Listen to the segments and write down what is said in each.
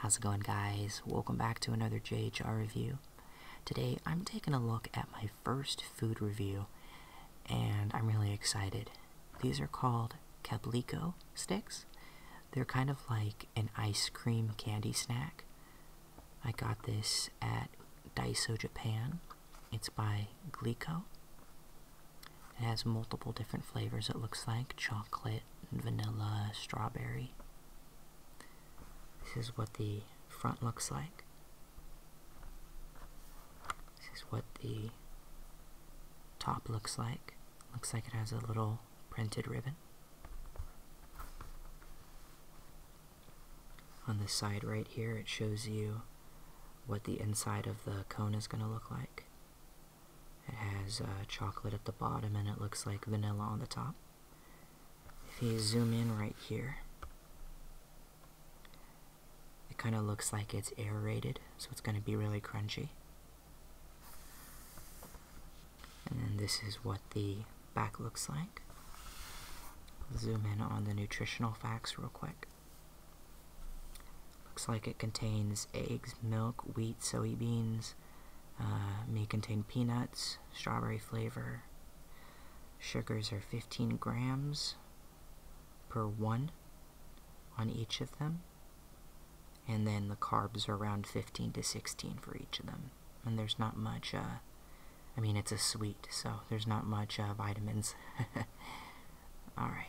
How's it going guys? Welcome back to another JHR review. Today I'm taking a look at my first food review and I'm really excited. These are called Cablico sticks. They're kind of like an ice cream candy snack. I got this at Daiso Japan it's by Glico. It has multiple different flavors, it looks like chocolate, vanilla, strawberry. This is what the front looks like. This is what the top looks like. Looks like it has a little printed ribbon. On the side right here, it shows you what the inside of the cone is going to look like. It has uh, chocolate at the bottom and it looks like vanilla on the top. If you zoom in right here, it kind of looks like it's aerated, so it's going to be really crunchy. And then this is what the back looks like. Zoom in on the nutritional facts real quick. Looks like it contains eggs, milk, wheat, soybeans, uh, may contain peanuts, strawberry flavor. Sugars are 15 grams per one on each of them. And then the carbs are around 15 to 16 for each of them. And there's not much, uh, I mean, it's a sweet, so there's not much uh, vitamins. Alright.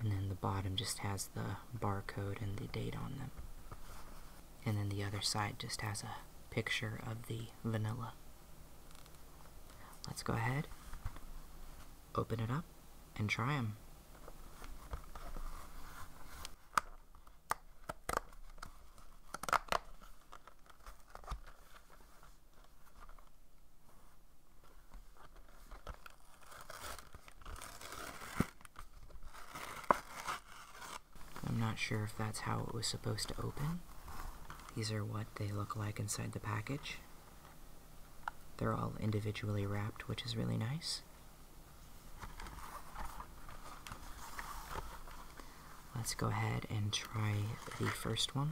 And then the bottom just has the barcode and the date on them. And then the other side just has a picture of the vanilla. Let's go ahead, open it up, and try them. I'm not sure if that's how it was supposed to open. These are what they look like inside the package. They're all individually wrapped, which is really nice. Let's go ahead and try the first one.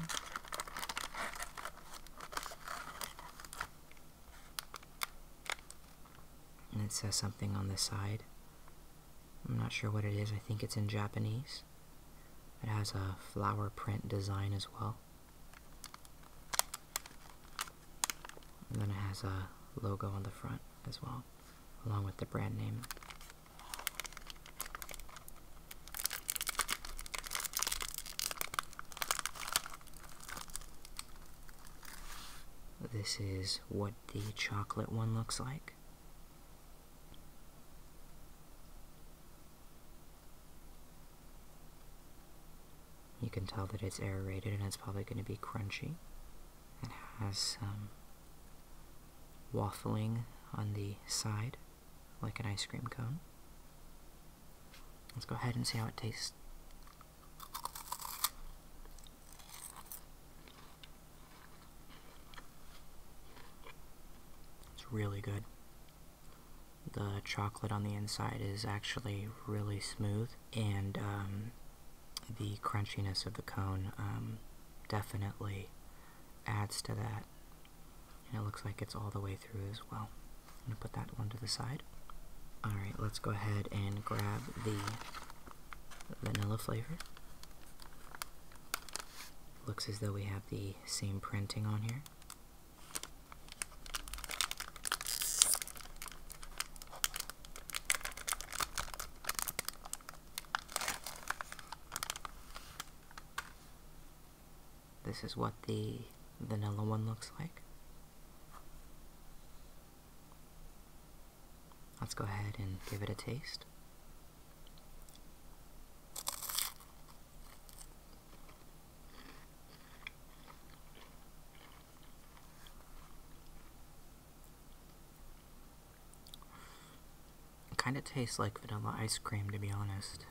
And it says something on the side. I'm not sure what it is, I think it's in Japanese. It has a flower print design as well. And then it has a logo on the front as well, along with the brand name. This is what the chocolate one looks like. You can tell that it's aerated and it's probably going to be crunchy. It has some waffling on the side like an ice cream cone. Let's go ahead and see how it tastes. It's really good. The chocolate on the inside is actually really smooth, and um, the crunchiness of the cone um, definitely adds to that and it looks like it's all the way through as well. I'm going to put that one to the side. Alright, let's go ahead and grab the vanilla flavor. Looks as though we have the same printing on here. This is what the vanilla one looks like. Let's go ahead and give it a taste. It kind of tastes like vanilla ice cream to be honest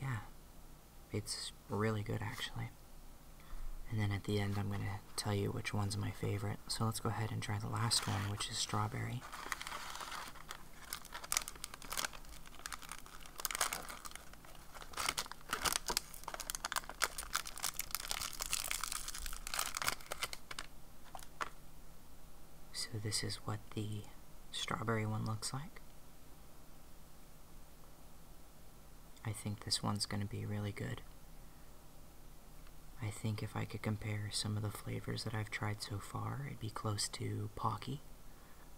yeah, it's really good actually. And then at the end, I'm going to tell you which one's my favorite. So let's go ahead and try the last one, which is strawberry. So this is what the strawberry one looks like. I think this one's going to be really good. I think if I could compare some of the flavors that I've tried so far, it'd be close to Pocky,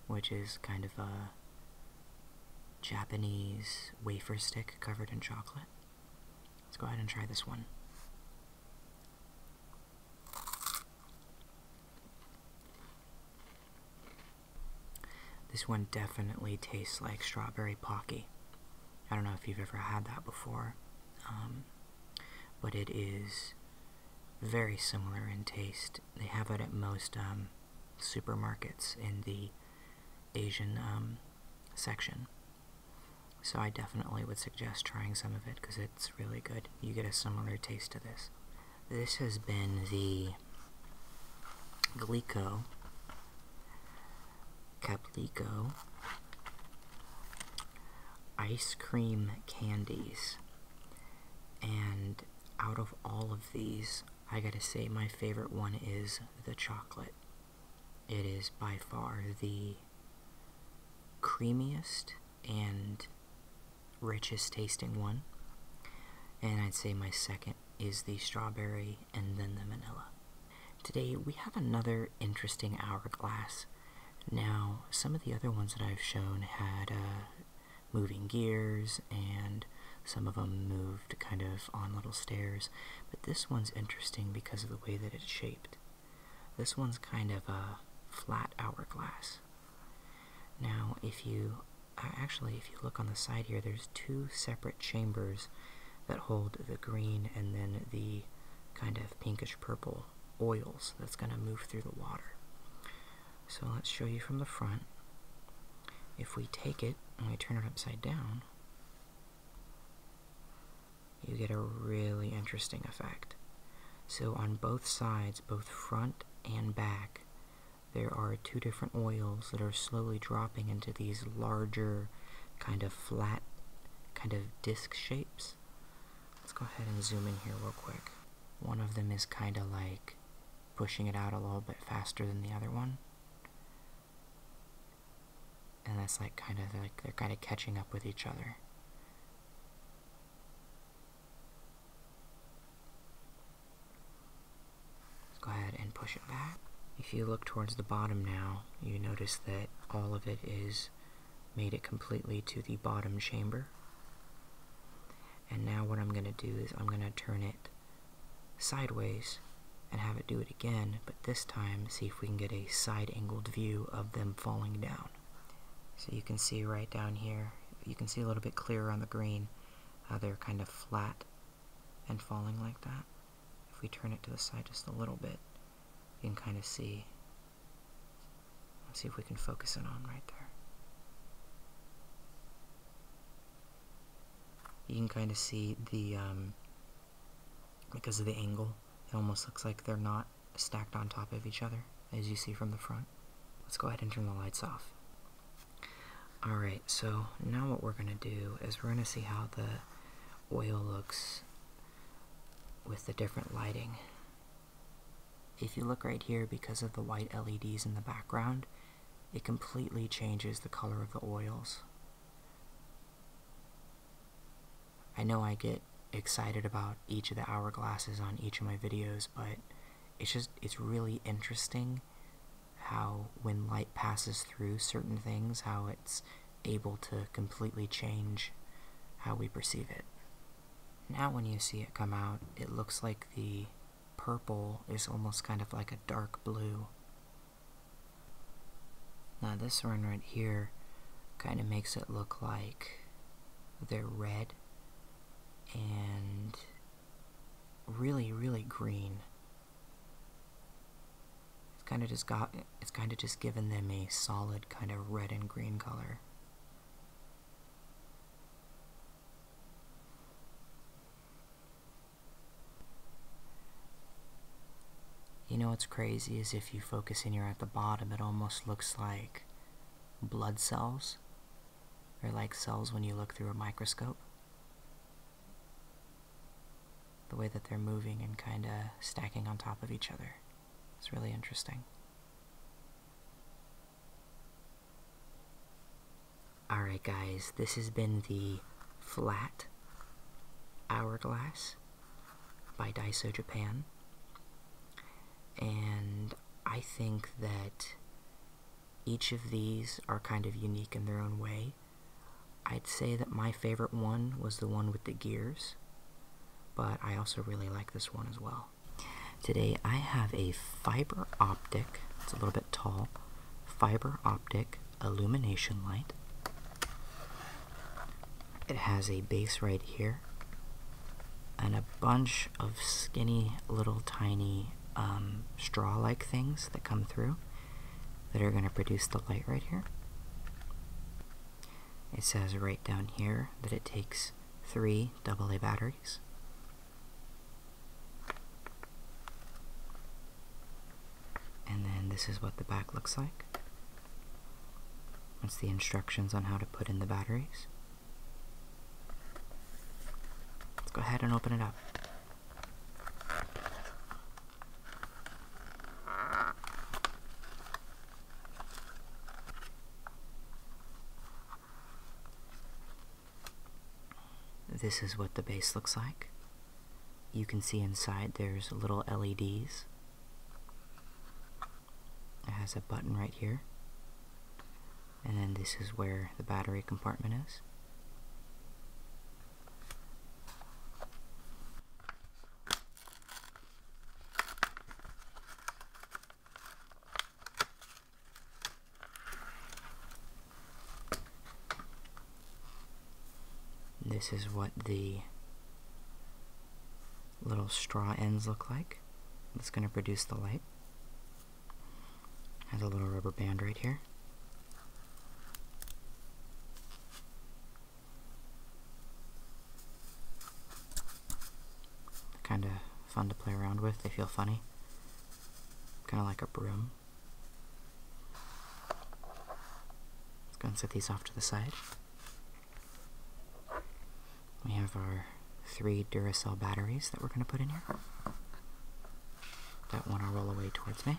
which is kind of a Japanese wafer stick covered in chocolate. Let's go ahead and try this one. This one definitely tastes like strawberry pocky. I don't know if you've ever had that before, um, but it is very similar in taste. They have it at most um, supermarkets in the Asian um, section. So I definitely would suggest trying some of it because it's really good you get a similar taste to this. This has been the Glico, Caplico, ice cream candies. And out of all of these, I gotta say my favorite one is the chocolate. It is by far the creamiest and richest tasting one. And I'd say my second is the strawberry and then the vanilla. Today we have another interesting hourglass. Now, some of the other ones that I've shown had uh, moving gears and some of them moved kind of on little stairs, but this one's interesting because of the way that it's shaped. This one's kind of a flat hourglass. Now, if you uh, actually, if you look on the side here, there's two separate chambers that hold the green and then the kind of pinkish purple oils that's going to move through the water. So let's show you from the front. If we take it and we turn it upside down, you get a really interesting effect. So on both sides, both front and back, there are two different oils that are slowly dropping into these larger, kind of flat, kind of disc shapes. Let's go ahead and zoom in here real quick. One of them is kind of like pushing it out a little bit faster than the other one. And that's like kind of like they're kind of catching up with each other. Let's go ahead and push it back. If you look towards the bottom now, you notice that all of it is made it completely to the bottom chamber. And now what I'm going to do is I'm going to turn it sideways and have it do it again, but this time see if we can get a side angled view of them falling down. So you can see right down here, you can see a little bit clearer on the green they're kind of flat and falling like that. If we turn it to the side just a little bit, you can kind of see. Let's see if we can focus it on right there. You can kind of see the, um, because of the angle, it almost looks like they're not stacked on top of each other, as you see from the front. Let's go ahead and turn the lights off. Alright, so now what we're going to do is we're going to see how the oil looks with the different lighting. If you look right here, because of the white LEDs in the background, it completely changes the color of the oils. I know I get excited about each of the hourglasses on each of my videos, but it's just it's really interesting how when light passes through certain things how it's able to completely change how we perceive it now when you see it come out it looks like the purple is almost kind of like a dark blue now this one right here kind of makes it look like they're red and really, really green. It's kind of just got, it's kind of just given them a solid kind of red and green color. You know what's crazy is if you focus in here at the bottom, it almost looks like blood cells they're like cells when you look through a microscope. The way that they're moving and kind of stacking on top of each other. It's really interesting. Alright, guys, this has been the Flat Hourglass by Daiso Japan and I think that each of these are kind of unique in their own way. I'd say that my favorite one was the one with the gears, but I also really like this one as well. Today I have a fiber optic, it's a little bit tall, fiber optic illumination light. It has a base right here and a bunch of skinny little tiny um, straw-like things that come through that are going to produce the light right here. It says right down here that it takes three AA batteries. And then this is what the back looks like. That's the instructions on how to put in the batteries. Let's go ahead and open it up. This is what the base looks like. You can see inside there's little LEDs. It has a button right here and then this is where the battery compartment is. This is what the little straw ends look like. It's going to produce the light. Has a little rubber band right here. Kind of fun to play around with. They feel funny. Kind of like a broom. Let's go and set these off to the side. We have our three Duracell batteries that we're going to put in here that one will roll away towards me.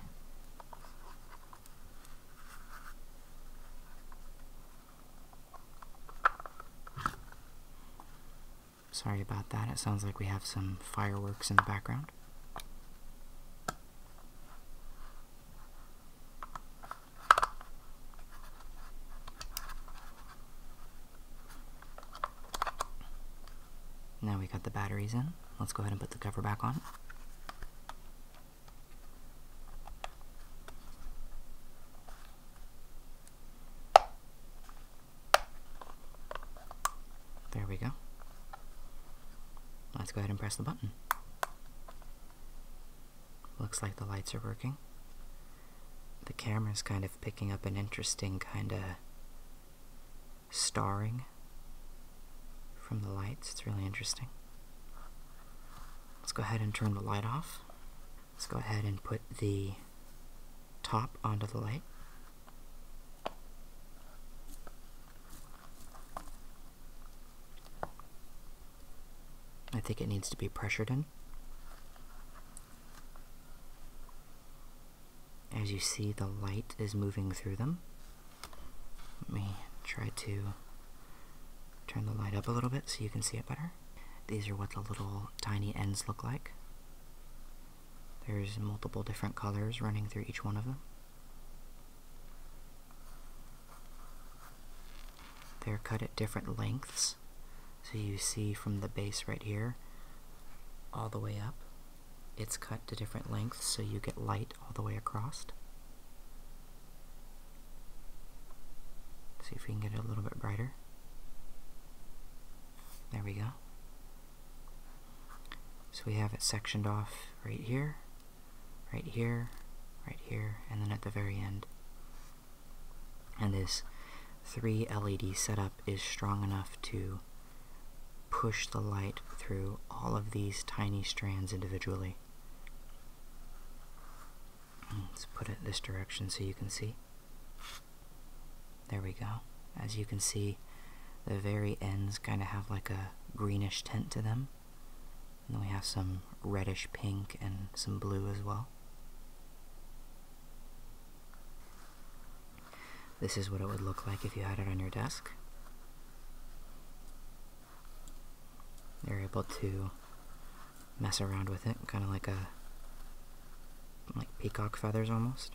Sorry about that, it sounds like we have some fireworks in the background. Now we got the batteries in. Let's go ahead and put the cover back on. There we go. Let's go ahead and press the button. Looks like the lights are working the camera is kind of picking up an interesting kind of starring from the lights. It's really interesting. Let's go ahead and turn the light off. Let's go ahead and put the top onto the light. I think it needs to be pressured in. As you see, the light is moving through them. Let me try to turn the light up a little bit so you can see it better. These are what the little tiny ends look like. There's multiple different colors running through each one of them. They're cut at different lengths so you see from the base right here all the way up, it's cut to different lengths so you get light all the way across. See if we can get it a little bit brighter. There we go. So we have it sectioned off right here, right here, right here, and then at the very end and this three LED setup is strong enough to push the light through all of these tiny strands individually. Let's put it this direction so you can see. There we go. As you can see, the very ends kind of have like a greenish tint to them. And then we have some reddish pink and some blue as well. This is what it would look like if you had it on your desk. You're able to mess around with it, kind of like a like peacock feathers almost.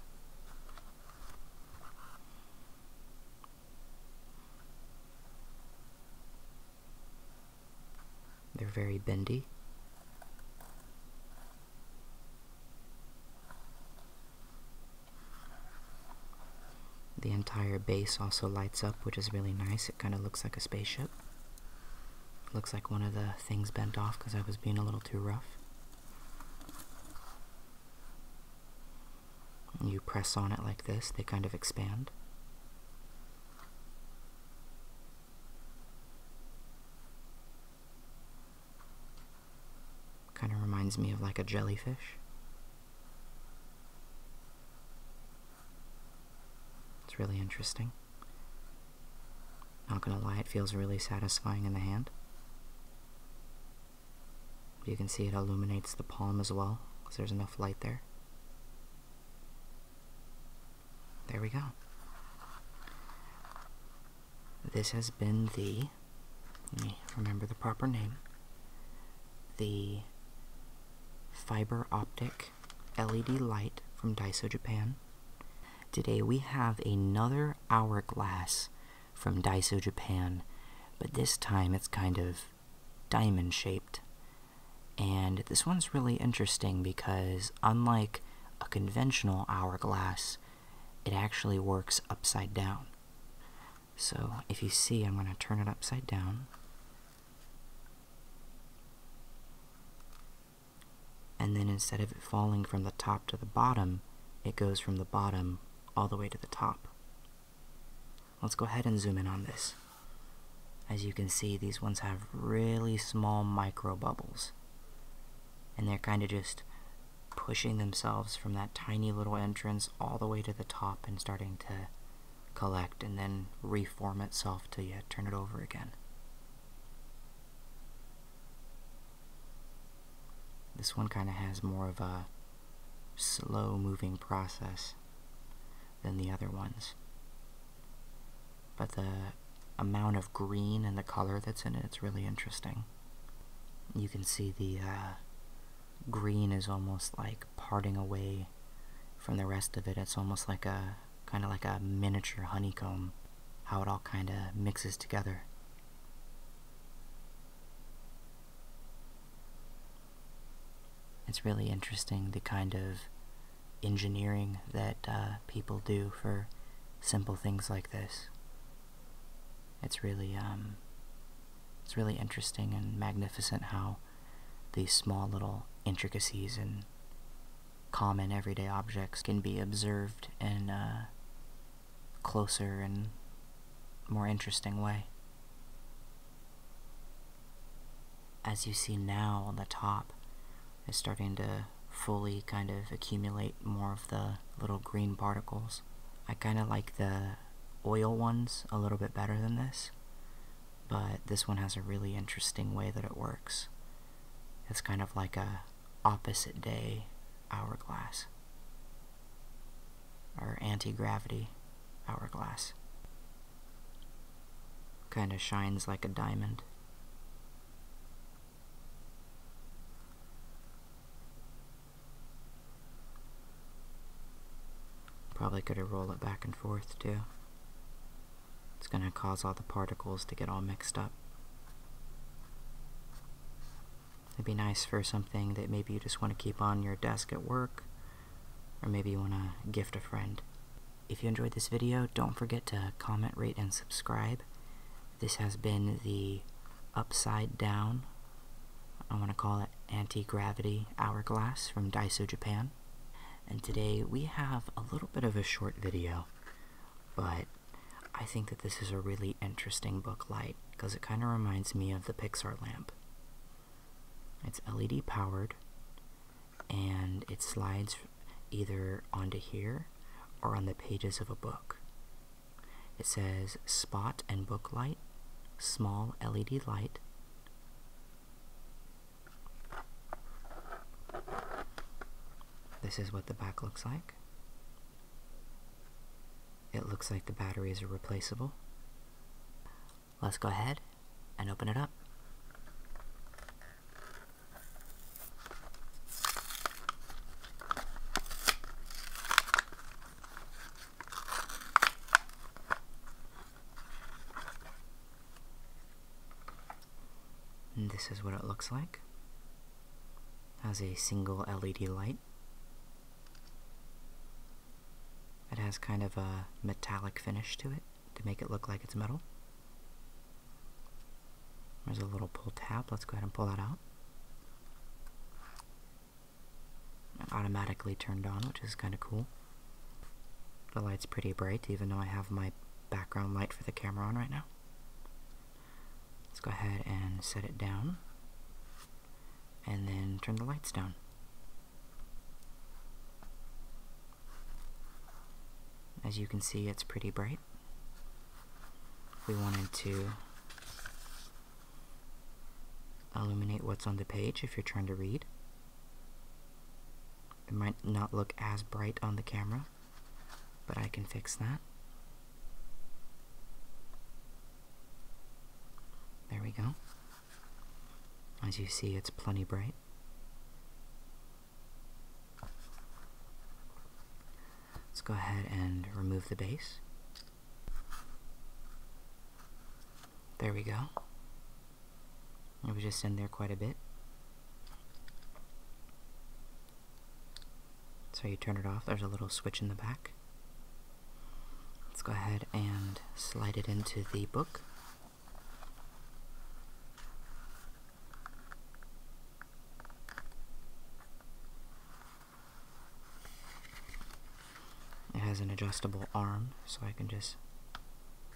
They're very bendy. The entire base also lights up, which is really nice. It kind of looks like a spaceship. Looks like one of the things bent off because I was being a little too rough. You press on it like this, they kind of expand. Kind of reminds me of like a jellyfish. It's really interesting. Not gonna lie, it feels really satisfying in the hand. You can see it illuminates the palm as well, because there's enough light there. There we go. This has been the, remember the proper name, the fiber optic LED light from Daiso Japan. Today we have another hourglass from Daiso Japan, but this time it's kind of diamond shaped. And this one's really interesting because unlike a conventional hourglass, it actually works upside down. So if you see, I'm going to turn it upside down. And then instead of it falling from the top to the bottom, it goes from the bottom all the way to the top. Let's go ahead and zoom in on this. As you can see, these ones have really small micro bubbles and they're kind of just pushing themselves from that tiny little entrance all the way to the top and starting to collect and then reform itself till you turn it over again. This one kind of has more of a slow moving process than the other ones. But the amount of green and the color that's in it, it's really interesting. You can see the uh, green is almost like parting away from the rest of it. It's almost like a kind of like a miniature honeycomb, how it all kind of mixes together. It's really interesting the kind of engineering that uh, people do for simple things like this. It's really um, it's really interesting and magnificent how these small little intricacies and common everyday objects can be observed in a closer and more interesting way. As you see now on the top, is starting to fully kind of accumulate more of the little green particles. I kind of like the oil ones a little bit better than this, but this one has a really interesting way that it works. It's kind of like a opposite day hourglass or anti-gravity hourglass. Kind of shines like a diamond. Probably could have rolled it back and forth too. It's going to cause all the particles to get all mixed up. It'd be nice for something that maybe you just want to keep on your desk at work, or maybe you want to gift a friend. If you enjoyed this video, don't forget to comment, rate, and subscribe. This has been the Upside Down, I want to call it Anti-Gravity Hourglass from Daiso Japan. And today we have a little bit of a short video, but I think that this is a really interesting book light because it kind of reminds me of the Pixar lamp. It's LED powered and it slides either onto here or on the pages of a book. It says spot and book light, small LED light. This is what the back looks like. It looks like the batteries are replaceable. Let's go ahead and open it up this is what it looks like. Has a single LED light. It has kind of a metallic finish to it to make it look like it's metal. There's a little pull tab. Let's go ahead and pull that out. automatically turned on, which is kind of cool. The light's pretty bright, even though I have my background light for the camera on right now. Let's go ahead and set it down. And then turn the lights down. As you can see, it's pretty bright we wanted to illuminate what's on the page if you're trying to read. It might not look as bright on the camera, but I can fix that. There we go. As you see, it's plenty bright. Let's go ahead and remove the base. There we go. It was just in there quite a bit. So you turn it off, there's a little switch in the back. Let's go ahead and slide it into the book. It has an adjustable arm, so I can just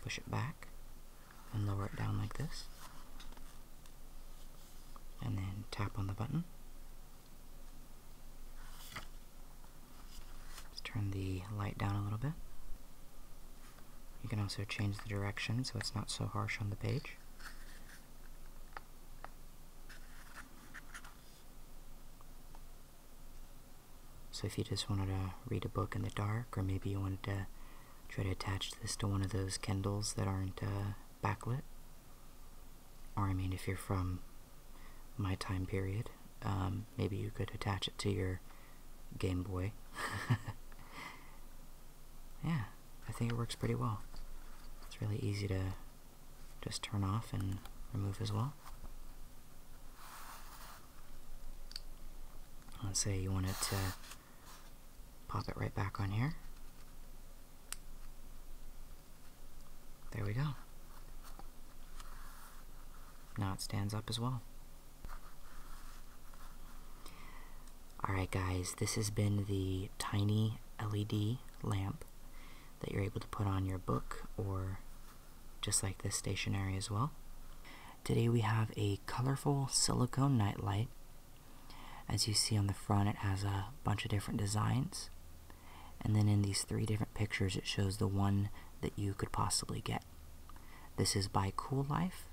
push it back and lower it down like this. And then tap on the button. let turn the light down a little bit. You can also change the direction so it's not so harsh on the page. So if you just wanted to read a book in the dark, or maybe you wanted to try to attach this to one of those Kindles that aren't uh, backlit, or I mean, if you're from my time period, um, maybe you could attach it to your Game Boy. yeah. I think it works pretty well. It's really easy to just turn off and remove as well. Let's say you want it to pop it right back on here. There we go. Now it stands up as well. Alright guys, this has been the Tiny LED lamp that you're able to put on your book or just like this stationery as well. Today we have a colorful silicone nightlight. As you see on the front it has a bunch of different designs and then in these three different pictures it shows the one that you could possibly get. This is by Cool Life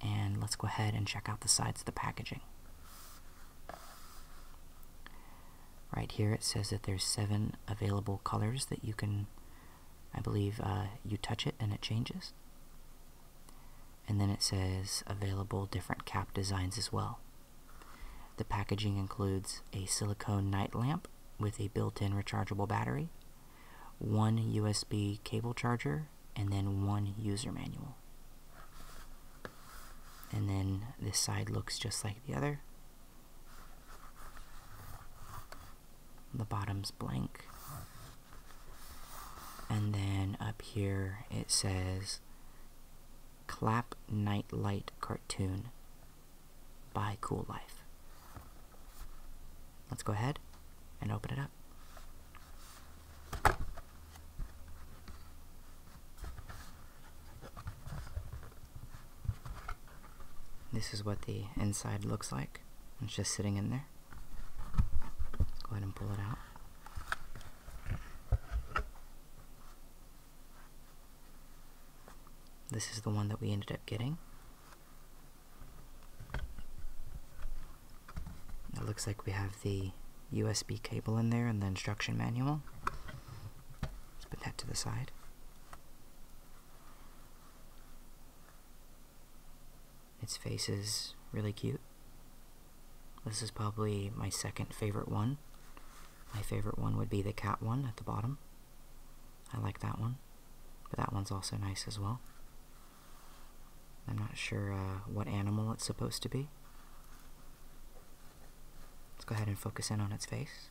and let's go ahead and check out the sides of the packaging. Right here it says that there's seven available colors that you can, I believe uh, you touch it and it changes. And then it says available different cap designs as well. The packaging includes a silicone night lamp with a built-in rechargeable battery, one USB cable charger, and then one user manual and then this side looks just like the other. The bottom's blank. And then up here it says Clap Night Light Cartoon by Cool Life. Let's go ahead and open it up. This is what the inside looks like. It's just sitting in there. go ahead and pull it out. This is the one that we ended up getting. It looks like we have the USB cable in there and the instruction manual. Let's put that to the side. Its face is really cute. This is probably my second favorite one. My favorite one would be the cat one at the bottom. I like that one, but that one's also nice as well. I'm not sure uh, what animal it's supposed to be. Let's go ahead and focus in on its face.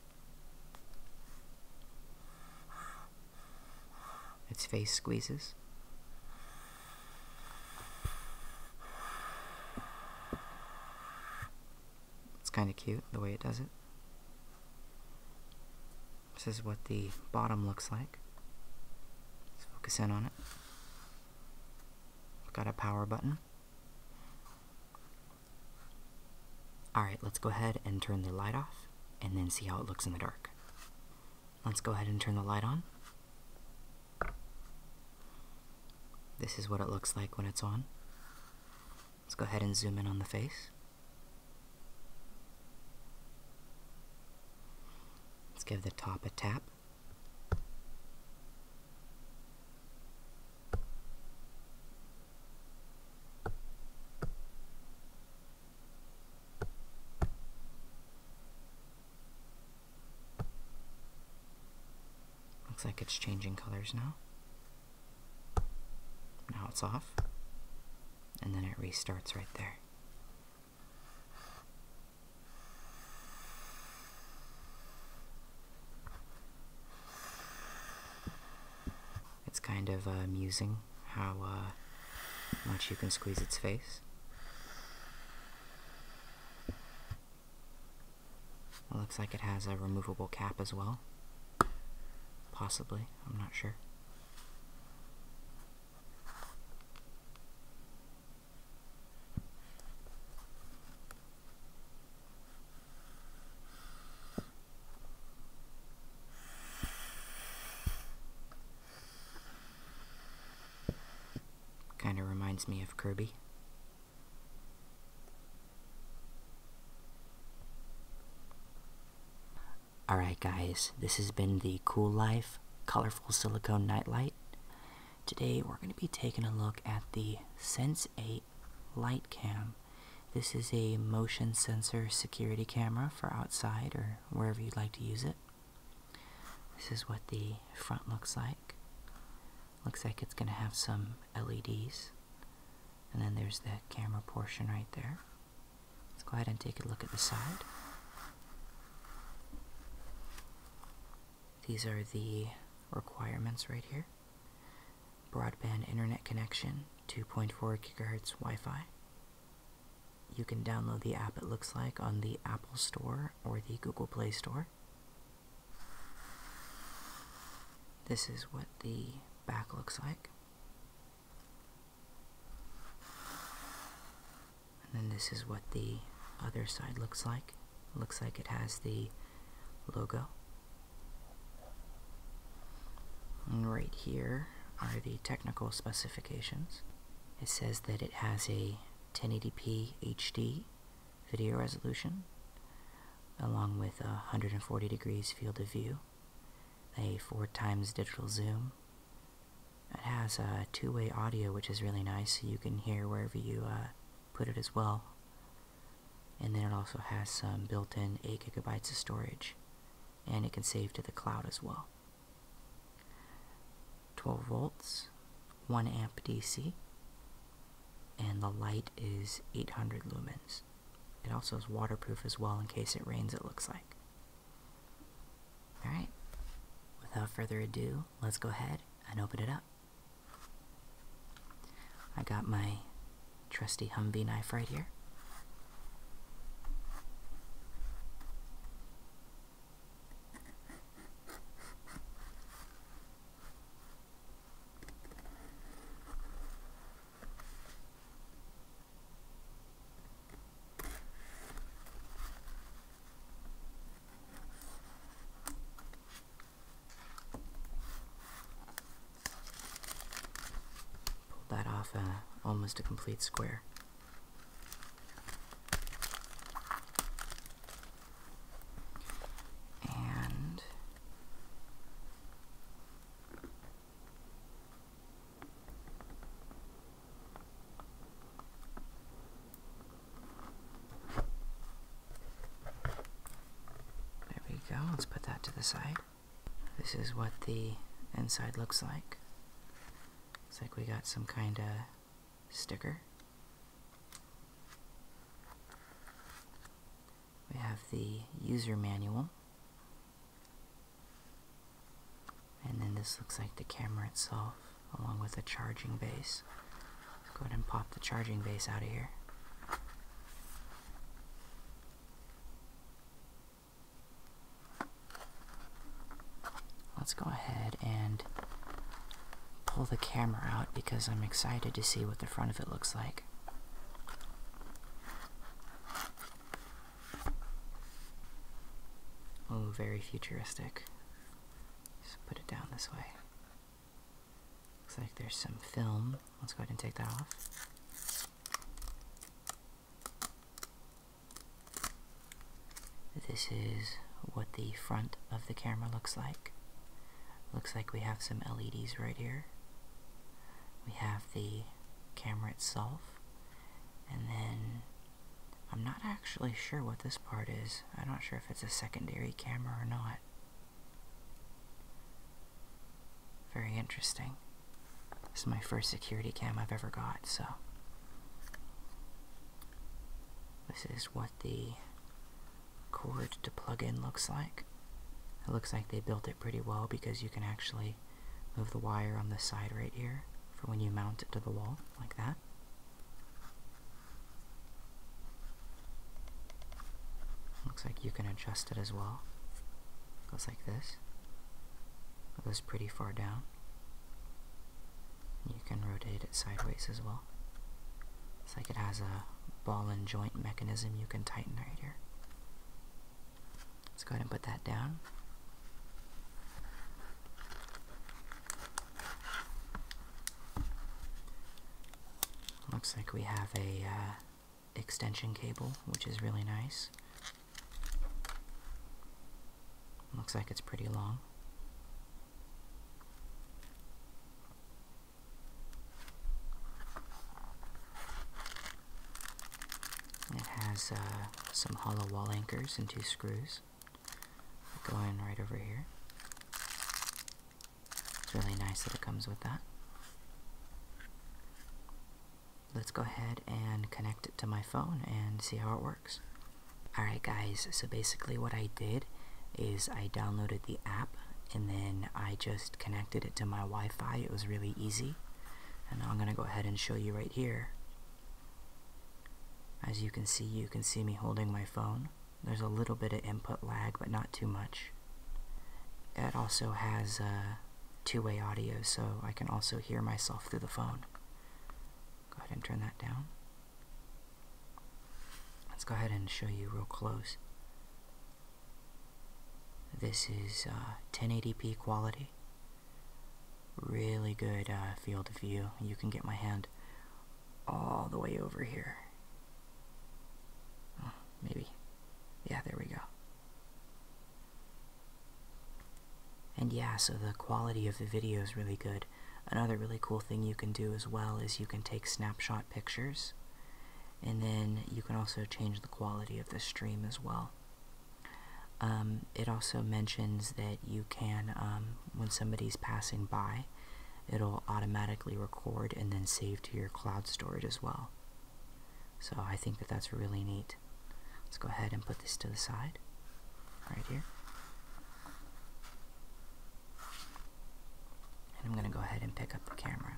Its face squeezes. It's kind of cute the way it does it. This is what the bottom looks like. Let's focus in on it. Got a power button. Alright, let's go ahead and turn the light off and then see how it looks in the dark. Let's go ahead and turn the light on. This is what it looks like when it's on. Let's go ahead and zoom in on the face. Let's give the top a tap. Looks like it's changing colors now. Now it's off. And then it restarts right there. It's kind of uh, amusing how uh, much you can squeeze its face. It looks like it has a removable cap as well. Possibly, I'm not sure. Kind of reminds me of Kirby. Alright guys, this has been the Cool Life Colorful Silicone Nightlight. Today we're going to be taking a look at the Sense 8 Light Cam. This is a motion sensor security camera for outside or wherever you'd like to use it. This is what the front looks like. Looks like it's going to have some LEDs. And then there's the camera portion right there. Let's go ahead and take a look at the side. These are the requirements right here. Broadband internet connection, 2.4 gigahertz Wi-Fi. You can download the app, it looks like, on the Apple Store or the Google Play Store. This is what the back looks like. And then this is what the other side looks like. Looks like it has the logo. And right here are the technical specifications. It says that it has a 1080p HD video resolution along with 140 degrees field of view, a 4 times digital zoom. It has a two-way audio which is really nice so you can hear wherever you uh, put it as well and then it also has some built-in 8 gigabytes of storage and it can save to the cloud as well 12 volts 1 amp DC and the light is 800 lumens it also is waterproof as well in case it rains it looks like alright without further ado let's go ahead and open it up I got my trusty Humvee knife right here. Pulled that off uh, almost a complete square. And there we go. Let's put that to the side. This is what the inside looks like. Looks like we got some kind of sticker. We have the user manual. And then this looks like the camera itself, along with a charging base. Go ahead and pop the charging base out of here. Let's go ahead and pull the camera out because I'm excited to see what the front of it looks like. Oh, very futuristic. Just put it down this way. Looks like there's some film. Let's go ahead and take that off. This is what the front of the camera looks like. Looks like we have some LEDs right here. We have the camera itself. And then, I'm not actually sure what this part is. I'm not sure if it's a secondary camera or not. Very interesting. This is my first security cam I've ever got, so. This is what the cord to plug in looks like. It looks like they built it pretty well because you can actually move the wire on the side right here for when you mount it to the wall, like that. Looks like you can adjust it as well. Goes like this. It goes pretty far down. You can rotate it sideways as well. It's like it has a ball and joint mechanism you can tighten right here. Let's go ahead and put that down. Looks like we have a uh, extension cable, which is really nice. Looks like it's pretty long. It has uh, some hollow wall anchors and two screws going right over here. It's really nice that it comes with that. Let's go ahead and connect it to my phone and see how it works. Alright guys, so basically what I did is I downloaded the app and then I just connected it to my Wi-Fi. It was really easy. And I'm going to go ahead and show you right here. As you can see, you can see me holding my phone. There's a little bit of input lag, but not too much. It also has uh, two-way audio, so I can also hear myself through the phone. Go ahead and turn that down. Let's go ahead and show you real close. This is 1080p uh, quality. Really good uh, field of view. You can get my hand all the way over here maybe. Yeah, there we go. And yeah, so the quality of the video is really good. Another really cool thing you can do as well is you can take snapshot pictures and then you can also change the quality of the stream as well. Um, it also mentions that you can, um, when somebody's passing by, it'll automatically record and then save to your cloud storage as well. So I think that that's really neat. Let's go ahead and put this to the side right here. And I'm going to go ahead and pick up the camera.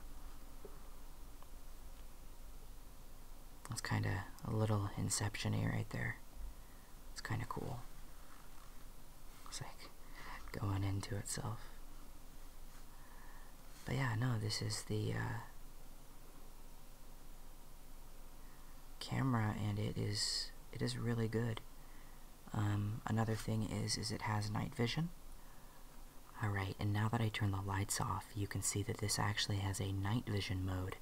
That's kind of a little inception-y right there. It's kind of cool. It's like going into itself. But yeah, no, this is the uh, camera, and it is it is really good. Um, another thing is is it has night vision. Alright, and now that I turn the lights off, you can see that this actually has a night vision mode.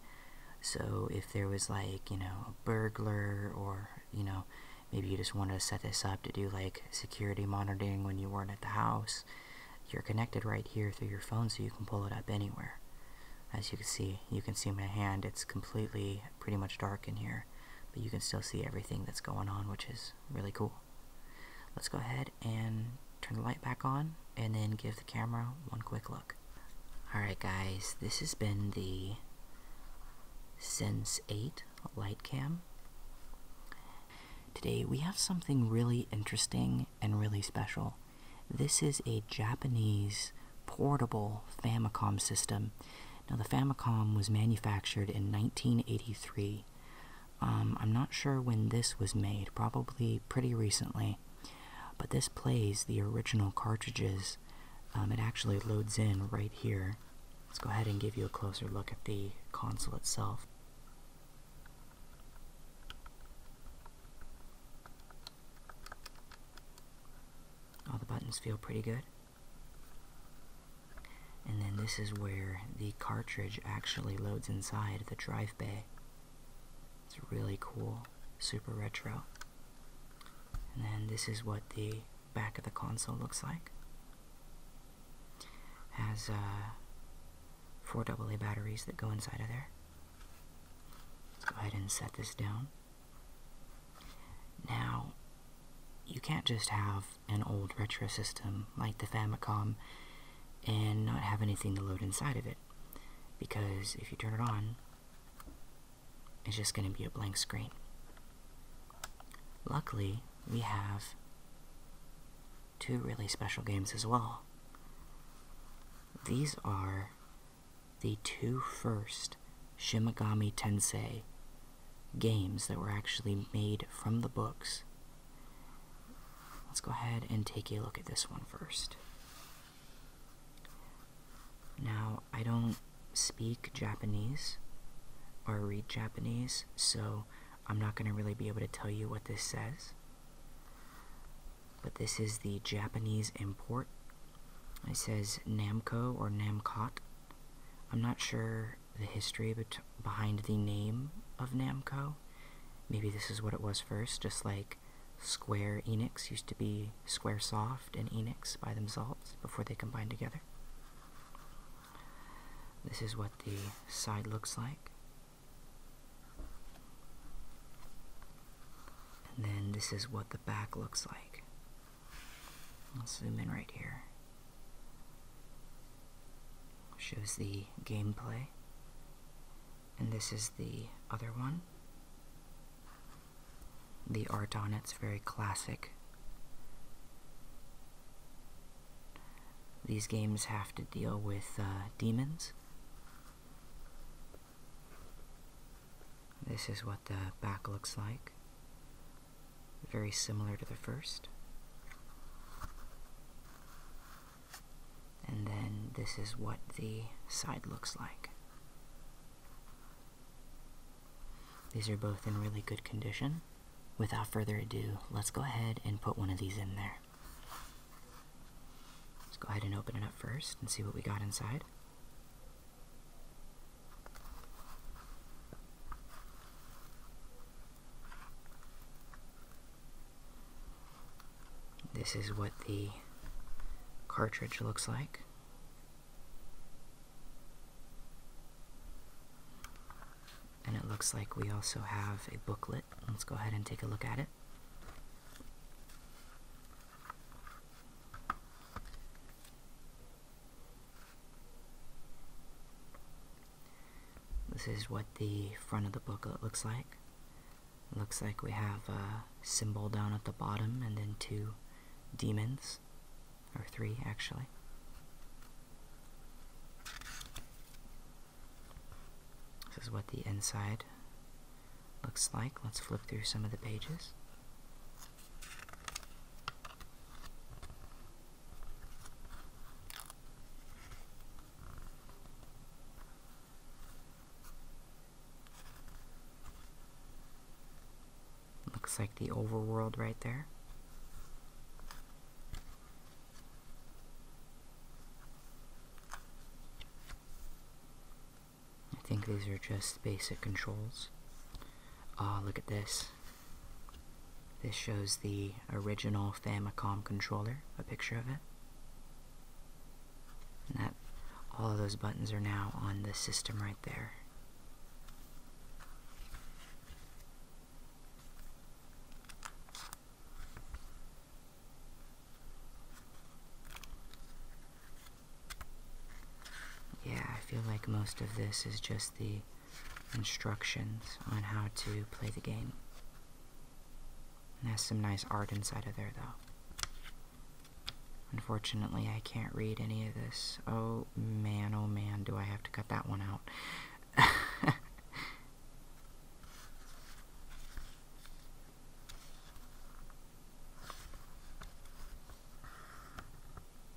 So if there was like, you know, a burglar or, you know, maybe you just wanted to set this up to do like security monitoring when you weren't at the house you're connected right here through your phone so you can pull it up anywhere as you can see you can see my hand it's completely pretty much dark in here but you can still see everything that's going on which is really cool let's go ahead and turn the light back on and then give the camera one quick look alright guys this has been the Sense 8 light cam Today we have something really interesting and really special. This is a Japanese portable Famicom system. Now, the Famicom was manufactured in 1983. Um, I'm not sure when this was made, probably pretty recently. But this plays the original cartridges. Um, it actually loads in right here. Let's go ahead and give you a closer look at the console itself. All the buttons feel pretty good. And then this is where the cartridge actually loads inside the drive bay. It's really cool, super retro. And then this is what the back of the console looks like. Has uh, four AA batteries that go inside of there. Let's go ahead and set this down. Now, you can't just have an old retro system like the Famicom and not have anything to load inside of it. Because if you turn it on, it's just going to be a blank screen. Luckily, we have two really special games as well. These are the two first Shimigami Tensei games that were actually made from the books. Let's go ahead and take a look at this one first. Now, I don't speak Japanese or read Japanese, so I'm not going to really be able to tell you what this says, but this is the Japanese import. It says Namco or Namcot. I'm not sure the history behind the name of Namco. Maybe this is what it was first, just like Square Enix used to be Square Soft and Enix by themselves before they combined together. This is what the side looks like. And then this is what the back looks like. Let's zoom in right here. Shows the gameplay. And this is the other one. The art on it's very classic. These games have to deal with uh, demons. This is what the back looks like. Very similar to the first. And then this is what the side looks like. These are both in really good condition without further ado, let's go ahead and put one of these in there. Let's go ahead and open it up first and see what we got inside. This is what the cartridge looks like. And it looks like we also have a booklet. Let's go ahead and take a look at it. This is what the front of the booklet looks like. looks like we have a symbol down at the bottom and then two demons, or three actually. This is what the inside looks like. Let's flip through some of the pages. Looks like the overworld right there. I think these are just basic controls. Ah, oh, look at this. This shows the original Famicom controller, a picture of it. And that all of those buttons are now on the system right there. Yeah, I feel like most of this is just the instructions on how to play the game. And has some nice art inside of there, though. Unfortunately, I can't read any of this. Oh man, oh man, do I have to cut that one out.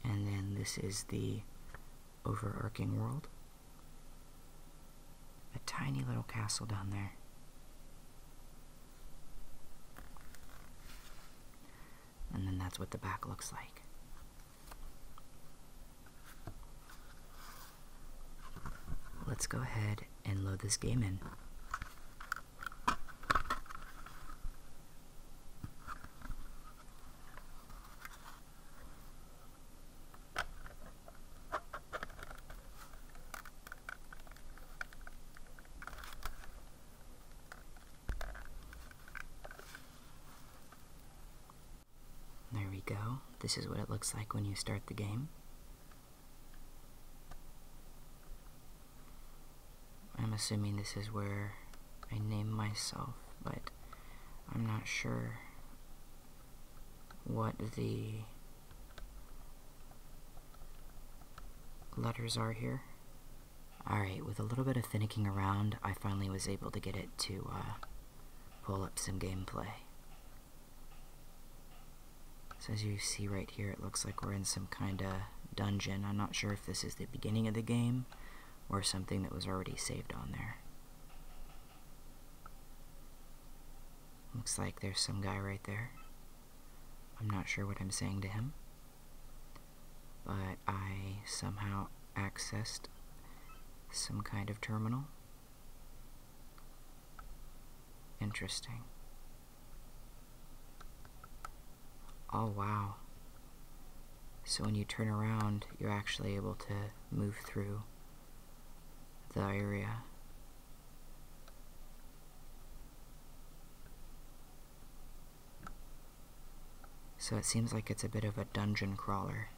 and then this is the overarching world. A tiny little castle down there. And then that's what the back looks like. Let's go ahead and load this game in. There we go. This is what it looks like when you start the game. I'm assuming this is where I name myself, but I'm not sure what the letters are here. Alright, with a little bit of finicking around, I finally was able to get it to uh, pull up some gameplay. So as you see right here, it looks like we're in some kind of dungeon. I'm not sure if this is the beginning of the game or something that was already saved on there. Looks like there's some guy right there. I'm not sure what I'm saying to him, but I somehow accessed some kind of terminal Interesting. Oh, wow. So when you turn around, you're actually able to move through the area. So it seems like it's a bit of a dungeon crawler.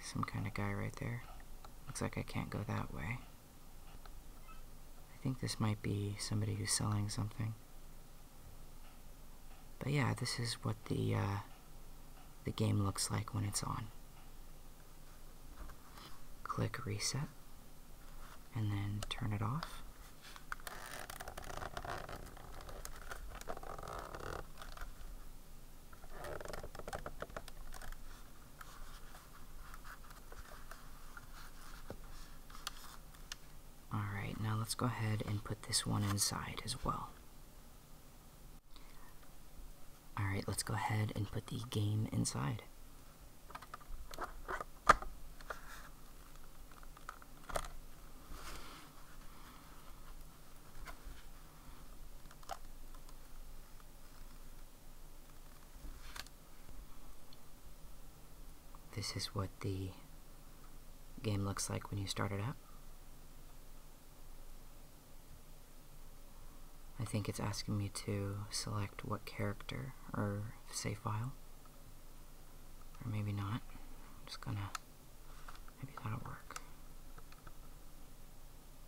Some kind of guy right there. Looks like I can't go that way. I think this might be somebody who's selling something. But yeah, this is what the uh, the game looks like when it's on. Click reset and then turn it off. All right, now let's go ahead and put this one inside as well. All right, let's go ahead and put the game inside. This is what the game looks like when you start it up. I think it's asking me to select what character or save file. Or maybe not. I'm just gonna Maybe that'll work.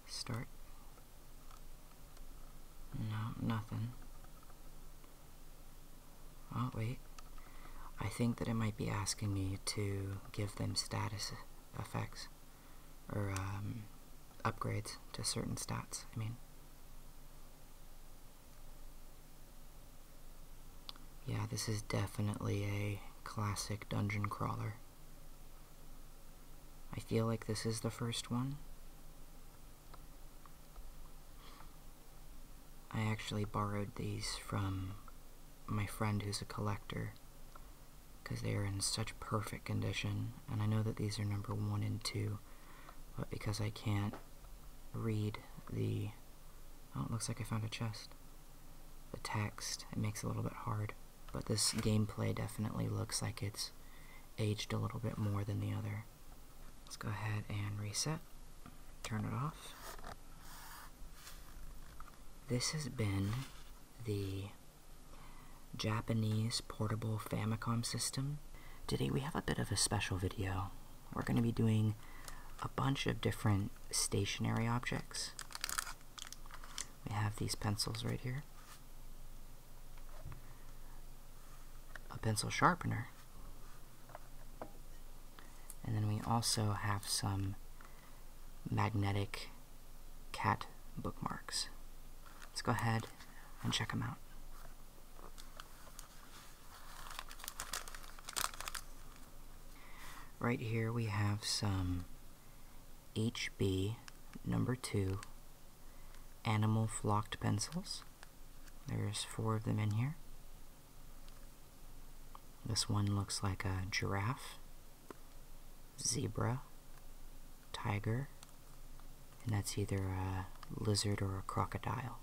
Start. No, nothing. Oh, wait. I think that it might be asking me to give them status effects or um, upgrades to certain stats. I mean, yeah, this is definitely a classic dungeon crawler. I feel like this is the first one. I actually borrowed these from my friend who's a collector because they are in such perfect condition and I know that these are number one and two but because I can't read the oh it looks like I found a chest the text, it makes a little bit hard. But this gameplay definitely looks like it's aged a little bit more than the other. Let's go ahead and reset, turn it off. This has been the Japanese portable Famicom system. Today we have a bit of a special video. We're going to be doing a bunch of different stationary objects. We have these pencils right here. A pencil sharpener. And then we also have some magnetic cat bookmarks. Let's go ahead and check them out. Right here we have some HB number two animal flocked pencils. There's four of them in here. This one looks like a giraffe, zebra, tiger, and that's either a lizard or a crocodile.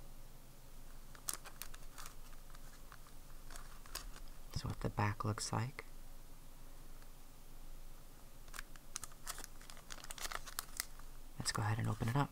So what the back looks like. Let's go ahead and open it up.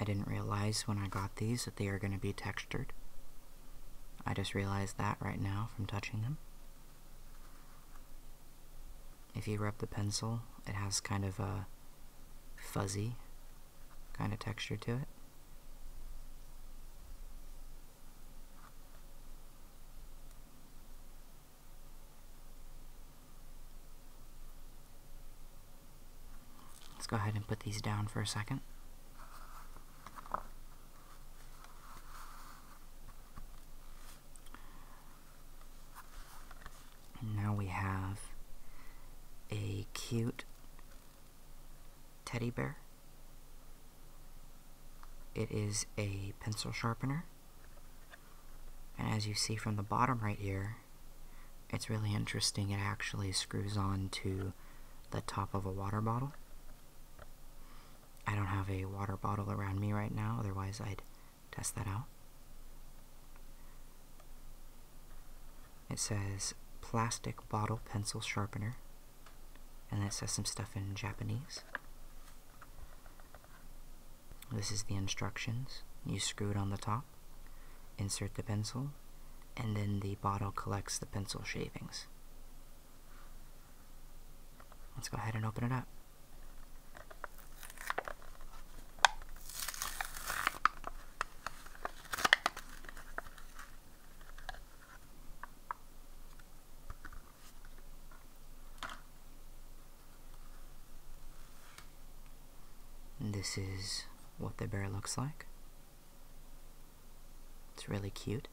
I didn't realize when I got these that they are going to be textured. I just realized that right now from touching them if you rub the pencil, it has kind of a fuzzy kind of texture to it. Let's go ahead and put these down for a second. And now we have a cute teddy bear. It is a pencil sharpener. And as you see from the bottom right here, it's really interesting. It actually screws on to the top of a water bottle. I don't have a water bottle around me right now, otherwise I'd test that out. It says plastic bottle pencil sharpener. And then it says some stuff in Japanese. This is the instructions. You screw it on the top, insert the pencil, and then the bottle collects the pencil shavings. Let's go ahead and open it up. This is what the bear looks like. It's really cute.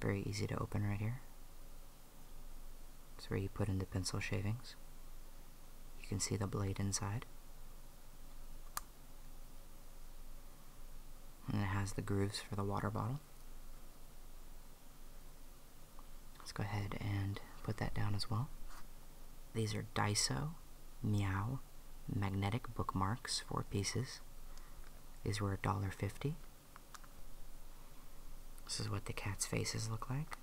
Very easy to open right here. So where you put in the pencil shavings. You can see the blade inside. And it has the grooves for the water bottle. Let's go ahead and put that down as well. These are Daiso Meow magnetic bookmarks, four pieces. These were $1.50. This is what the cat's faces look like.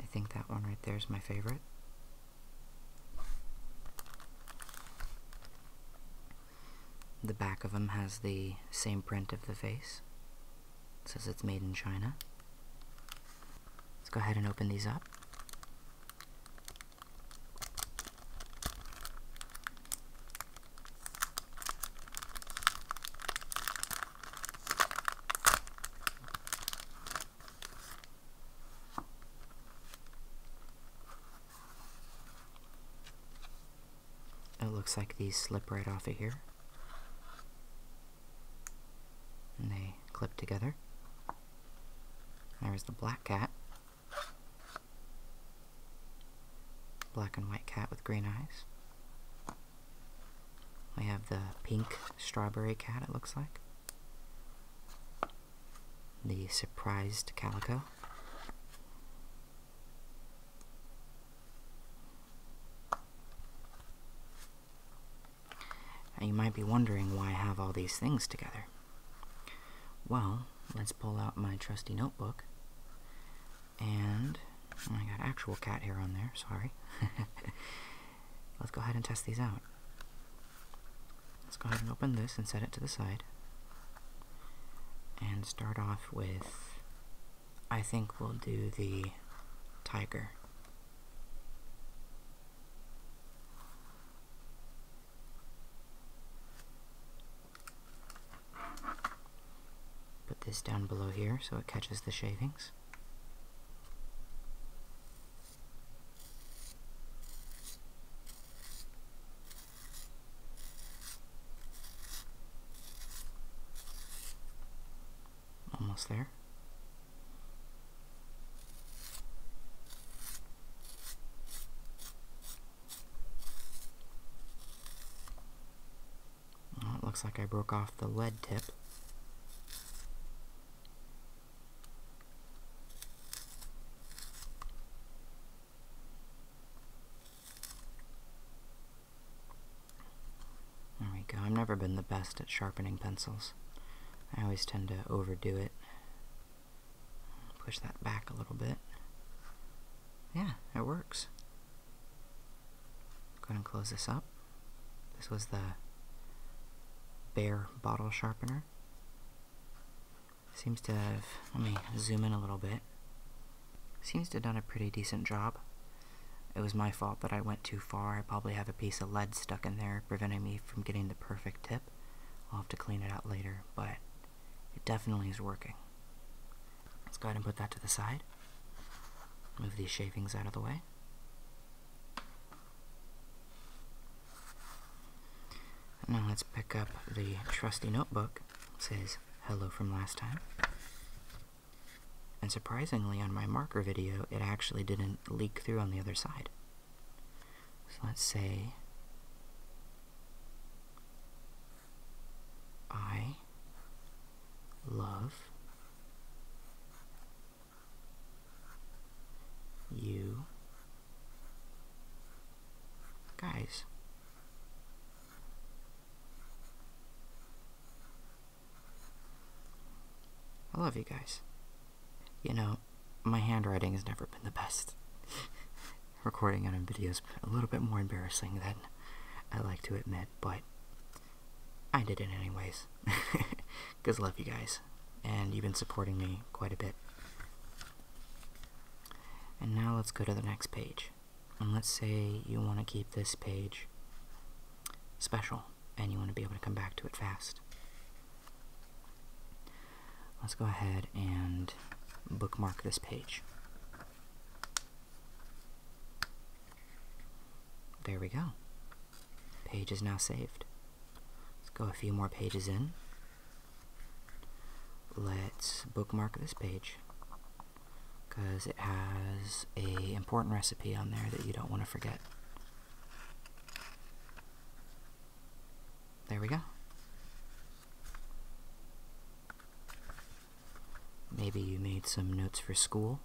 I think that one right there is my favorite. The back of them has the same print of the face. It says it's made in China. Let's go ahead and open these up. It looks like these slip right off of here. And they clip together. There's the black cat. Black and white cat with green eyes. We have the pink strawberry cat, it looks like. The surprised calico. Now you might be wondering why I have all these things together. Well, let's pull out my trusty notebook and oh, I got actual cat hair on there, sorry. Let's go ahead and test these out. Let's go ahead and open this and set it to the side. And start off with, I think we'll do the tiger. Put this down below here so it catches the shavings. Almost there it looks like I broke off the lead tip. There we go. I've never been the best at sharpening pencils. I always tend to overdo it. Push that back a little bit. Yeah, it works. Go ahead and close this up. This was the bare bottle sharpener. Seems to have, let me zoom in a little bit. Seems to have done a pretty decent job. It was my fault that I went too far. I probably have a piece of lead stuck in there preventing me from getting the perfect tip. I'll have to clean it out later, but it definitely is working. Let's go ahead and put that to the side. Move these shavings out of the way. And now let's pick up the trusty notebook. says hello from last time. And surprisingly, on my marker video, it actually didn't leak through on the other side. So let's say I love you guys. I love you guys. You know, my handwriting has never been the best. recording out in videos a little bit more embarrassing than I like to admit, but I did it anyways. Because love you guys, and you've been supporting me quite a bit. And now let's go to the next page. And let's say you want to keep this page special, and you want to be able to come back to it fast. Let's go ahead and bookmark this page. There we go. Page is now saved. Let's go a few more pages in. Let's bookmark this page because it has a important recipe on there that you don't want to forget. There we go. Maybe you made some notes for school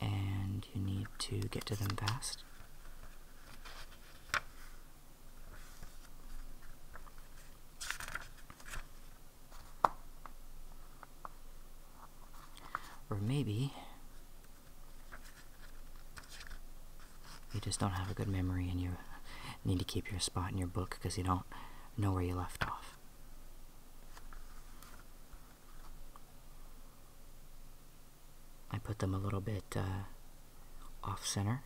and you need to get to them fast. Or maybe you just don't have a good memory and you need to keep your spot in your book because you don't know where you left off. I put them a little bit uh, off center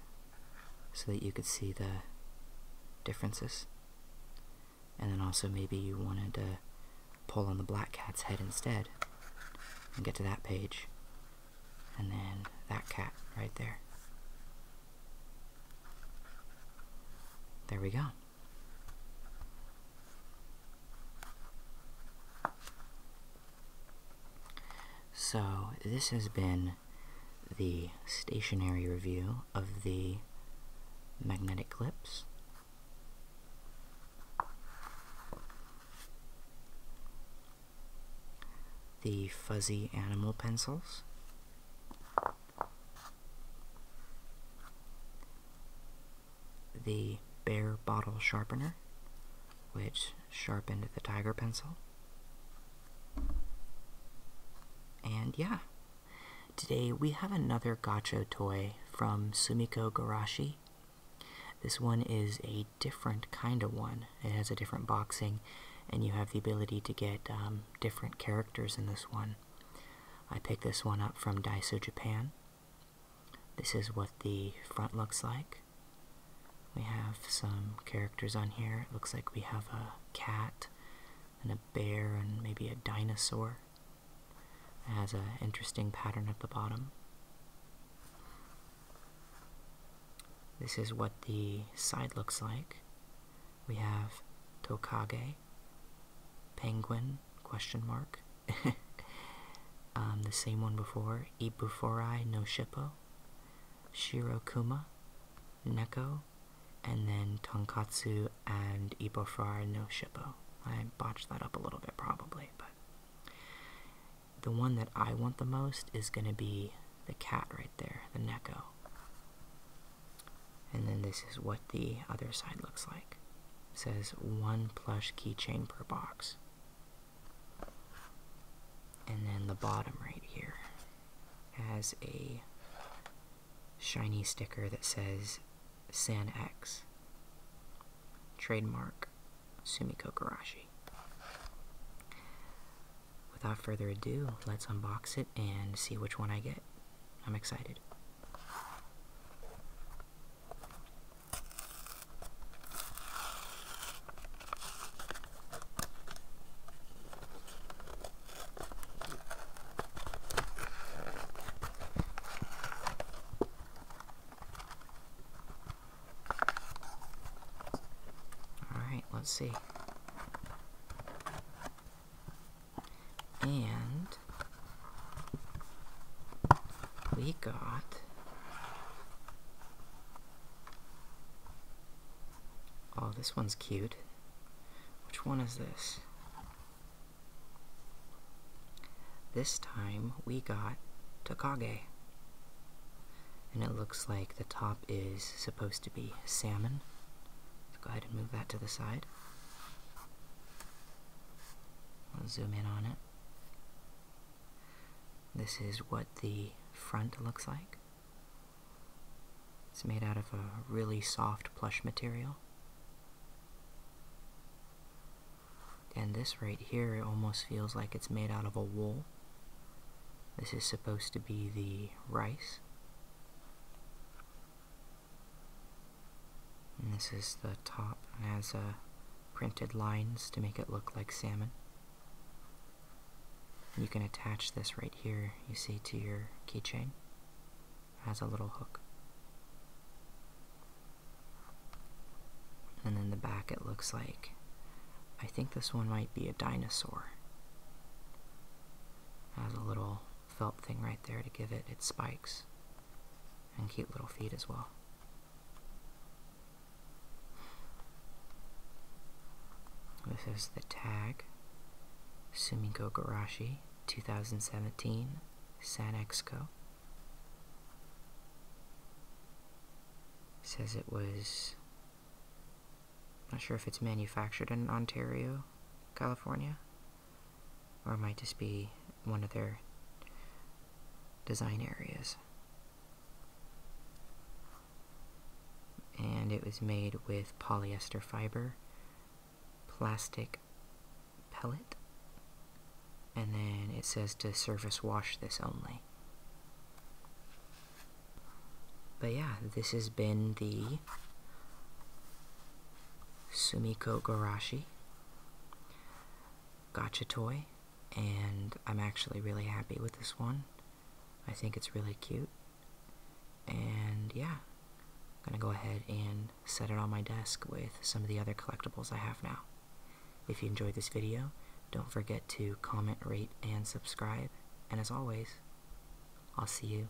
so that you could see the differences. And then also maybe you wanted to pull on the black cat's head instead and get to that page. And then that cat right there. There we go. So, this has been the stationary review of the magnetic clips. The fuzzy animal pencils the Bear Bottle Sharpener, which sharpened the Tiger Pencil. And yeah, today we have another gacha toy from Sumiko Garashi. This one is a different kind of one. It has a different boxing, and you have the ability to get um, different characters in this one. I picked this one up from Daiso Japan. This is what the front looks like. We have some characters on here. It looks like we have a cat and a bear and maybe a dinosaur. It has an interesting pattern at the bottom. This is what the side looks like we have Tokage, Penguin, question mark. Um, the same one before, Ibuforai no Shippo, Shirokuma, Neko, and then Tonkatsu and Ibuforai no Shippo. I botched that up a little bit probably, but the one that I want the most is going to be the cat race there, the Neko. And then this is what the other side looks like. says one plush keychain per box. And then the bottom right here has a shiny sticker that says San X. Trademark Sumiko Garashi. Without further ado, let's unbox it and see which one I get. I'm excited. All right, let's see and we got oh this one's cute which one is this this time we got takage and it looks like the top is supposed to be salmon go ahead and move that to the side I'll zoom in on it. This is what the front looks like. It's made out of a really soft plush material. And this right here, almost feels like it's made out of a wool. This is supposed to be the rice. And this is the top and has uh, printed lines to make it look like salmon. You can attach this right here, you see, to your keychain. has a little hook. And then the back it looks like, I think this one might be a dinosaur. has a little felt thing right there to give it its spikes and cute little feet as well. This is the tag Sumiko Garashi 2017 San Exco. Says it was not sure if it's manufactured in Ontario, California. Or it might just be one of their design areas. And it was made with polyester fiber, plastic pellet, and then it says to surface wash this only. But yeah, this has been the Sumiko Garashi, Gotcha Toy, and I'm actually really happy with this one. I think it's really cute. And yeah, I'm gonna go ahead and set it on my desk with some of the other collectibles I have now. If you enjoyed this video, don't forget to comment, rate, and subscribe. And as always, I'll see you